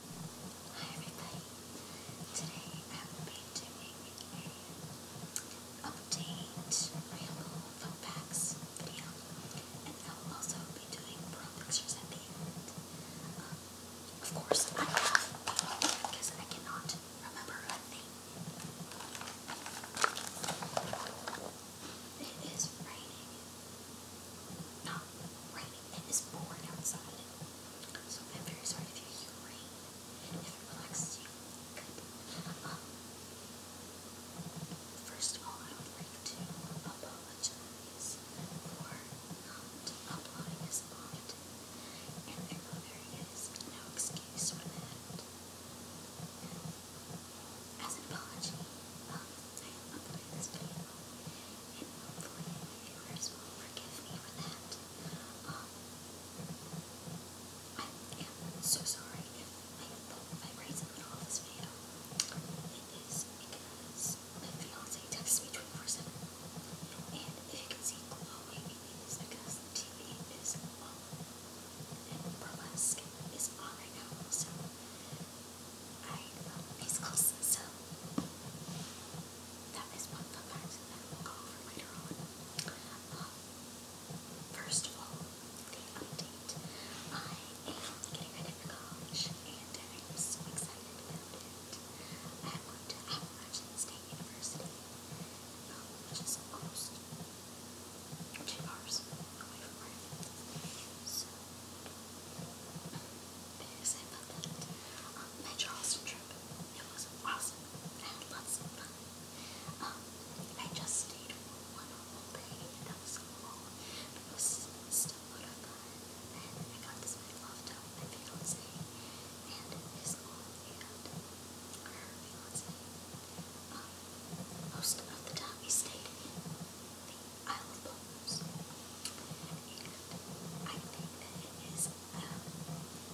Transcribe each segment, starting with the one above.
Hi everybody. Today I will be doing a update real phone packs video and I will also be doing pro at the end. of course I have because I cannot remember a thing. It is raining not It is pouring outside. So I'm very sorry if you hear rain. If it relaxes you, good. Um, first of all, I would like to apologize for not uploading this often. And there is no excuse for that. As an apology, um, I am uploading this video hopefully the viewers will forgive me for that. I am so sorry if I my braids in the this video. It is because my fiance texts me 24-7. And if you can see glowing, it is because TV is on. And burlesque is on right so Alright, well, he's so that is one fun fact that we'll go over later on. Um, first of all, the update. I am getting ready college, and I'm so excited about it. I have gone to Appalachian State University, um, which is almost two hours away from where So, what did I say trip. It was awesome. I lots of fun. I just stayed for one whole day and that was so But it was still a lot And I got this my love down with my fiance and his mom and her fiance. Um, most of the time we stayed in the Isle of I think that it is um,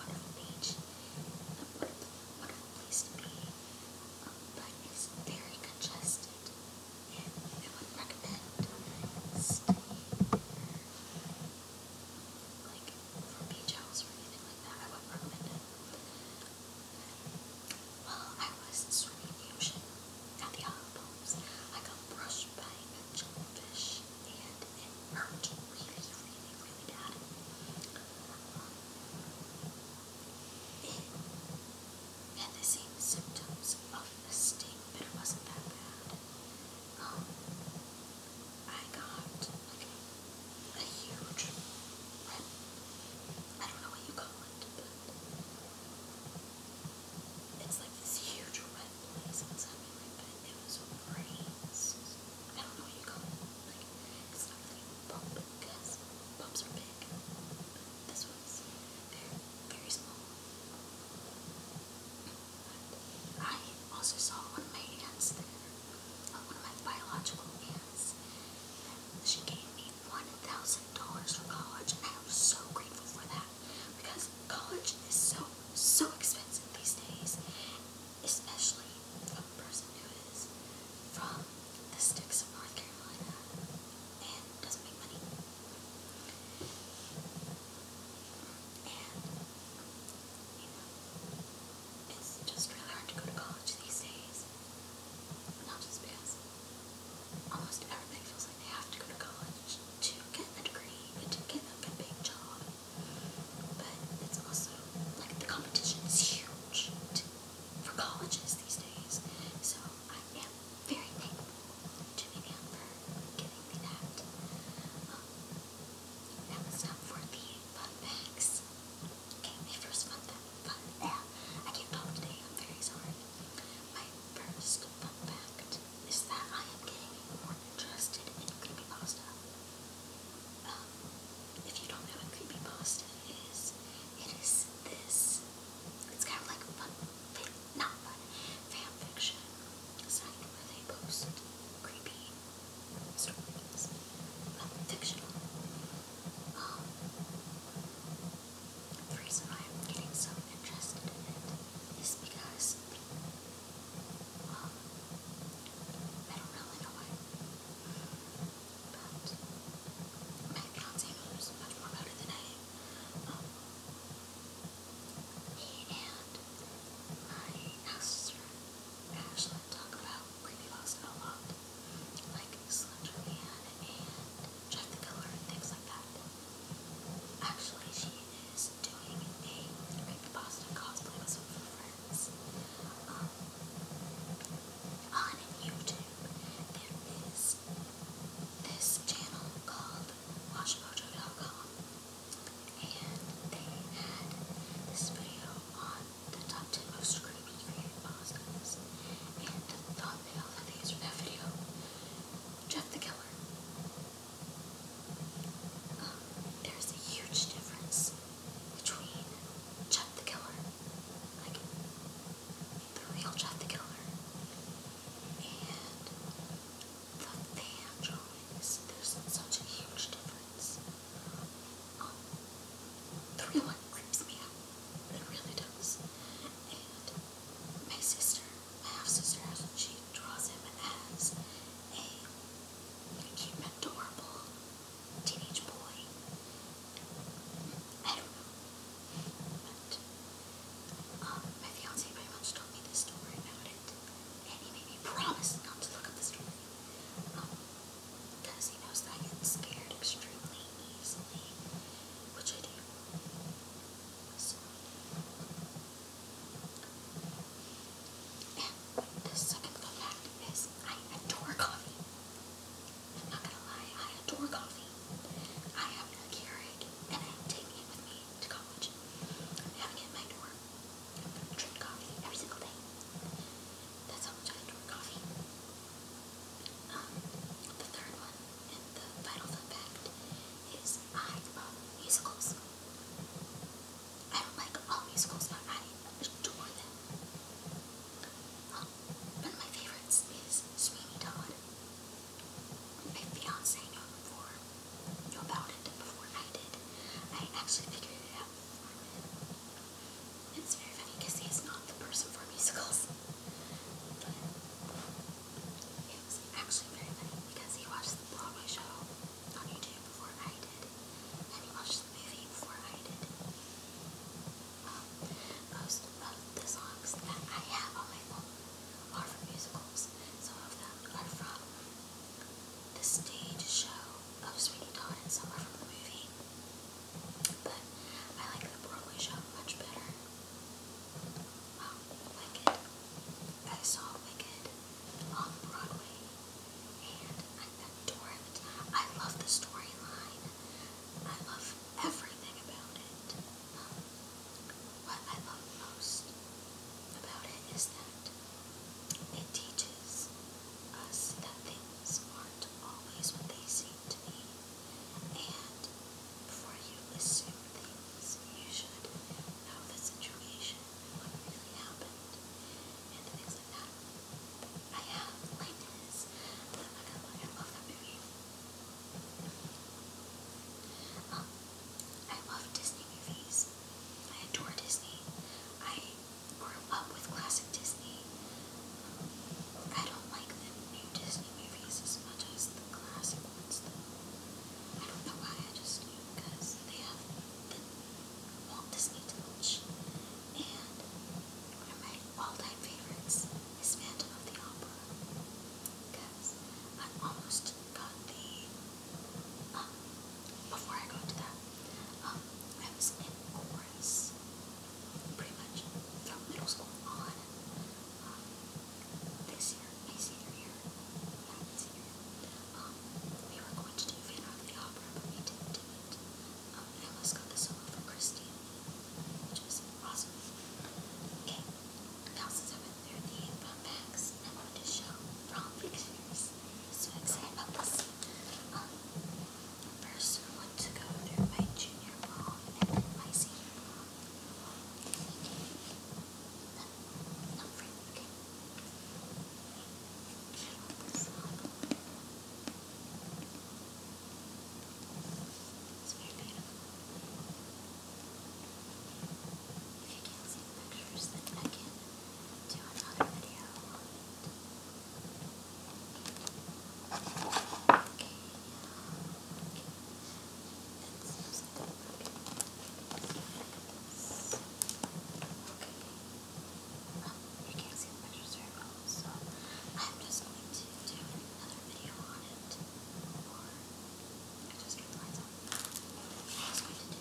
wonderful beach, a wonderful, wonderful place to very congested. And I would recommend staying like, for beach house or anything like that. I would not recommend it. While I was swimming in the ocean at the Isles, I got brushed by a jellyfish and it hurt really, really, really bad. Um, and had the same symptoms of a sting, but it wasn't that bad. Um, I got a huge red, I don't know what you call it, but it's like this huge red place inside my lip, it was braids. I don't know what you call it. it's not really a bump because bumps are big, this was very, very small. I also saw one of my aunts there one of my biological aunts. She gave me one thousand dollars for college, and I was so grateful for that because college is so so expensive these days, especially a person who is from the sticks of North Carolina and doesn't make money. And you know, it's just really hard to go to college these days. Not just because almost everybody feels like they have to go to college to get a degree and to get a big job. But it's also like the competition is huge for colleges these days. So I am very thankful to Miriam for giving me that. Um, that was not for the fun facts. Okay, my first fun fact. I can't talk today, I'm very sorry. My first fun fact is that I am getting more interested in creepypasta. Um, if you don't know what creepypasta is, it is this. It's kind of like fun, not fun, fan fiction. It's like where they post creepy stories, not fictional. the reason I'm getting so interested in it is because um, I don't really know why, but my fiance knows much more about it than I. Um, and my sister we actually talk about creepypasta a like Slender Man and Jack the Killer and things like that. Actually, she is doing a creepypasta cosplay with some of her friends. Um, on YouTube, there is this channel called WatchMojo.com and they had this video on the top 10 most creepy creepypastas, and the thumbnail that that video, Jeff the Killer. there's a huge difference between Jeff the Killer, like the real Jeff the Killer, and the fan drawings, there's such a huge difference. the real one creeps me out. It um, really does. And my sister, my half sister, she draws him as a cute, adorable teenage boy. I don't know. But my fiance pretty much told me this story, and he made me promise not to look up the story. Um, because he knows that I get scared extremely easily. Which I do. And the second fact is I adore coffee. I'm not gonna lie, I adore coffee. I have a Keurig and I take it with me to college. I'm it in my dorm drink coffee every single day. That's how much I adore coffee. Um, the third one, and the final fact, is I love musicals. I don't like all musicals, but I adore them. Um, one my favorites is Sweeney Todd my fiance knew about it before I did. I actually figured it out before him. It's very funny because he's not the person for musicals. But it was actually very funny because he watched the Broadway show on YouTube before I did. And he watched the movie before I did. Um, most of the songs that I have on my phone are from musicals. Some of them are from the stage show of Sweeney Todd some are from the movie. But I like the Broadway show much better. Wow, um, Wicked. I saw Wicked on Broadway and I adore it. I love the storyline. I love everything about it. Um, what I love most about it is that it teaches us that things aren't always what they seem to be, and before you assume things, you should know the situation what really happened, and things like that. I have Linus. I love that movie. Um, I love Disney movies. I adore Disney. I grew up with classic Disney. Um, I don't like the new Disney movies as much as the classic ones, though. I don't know why, I just do, because they have the Walt Disney touch. And one of my all-time favorites is Phantom of the Opera. I almost got the, um, before I go into that, um, I was in chorus pretty much from middle school on, um, this year, my senior year, my senior year, um, we were going to do Van of the Opera, but we didn't do it. I almost got the solo for Christine, which is awesome. Okay, we also have pound bags. I wanted to show from pictures. I'm first, I want to go through my junior prom and my senior prom. No, not friend, okay. I want this one. It's very beautiful. If you can't see the pictures, then I can do another video Okay. It you can't see the pictures very so I'm just going to do another video on it, or I am just going to do another video on it, and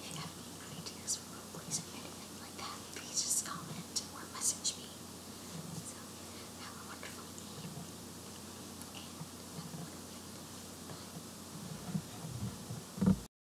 if you have any ideas for replays or anything like that, please just comment or message me. So, have a wonderful evening, and have a wonderful day. Bye.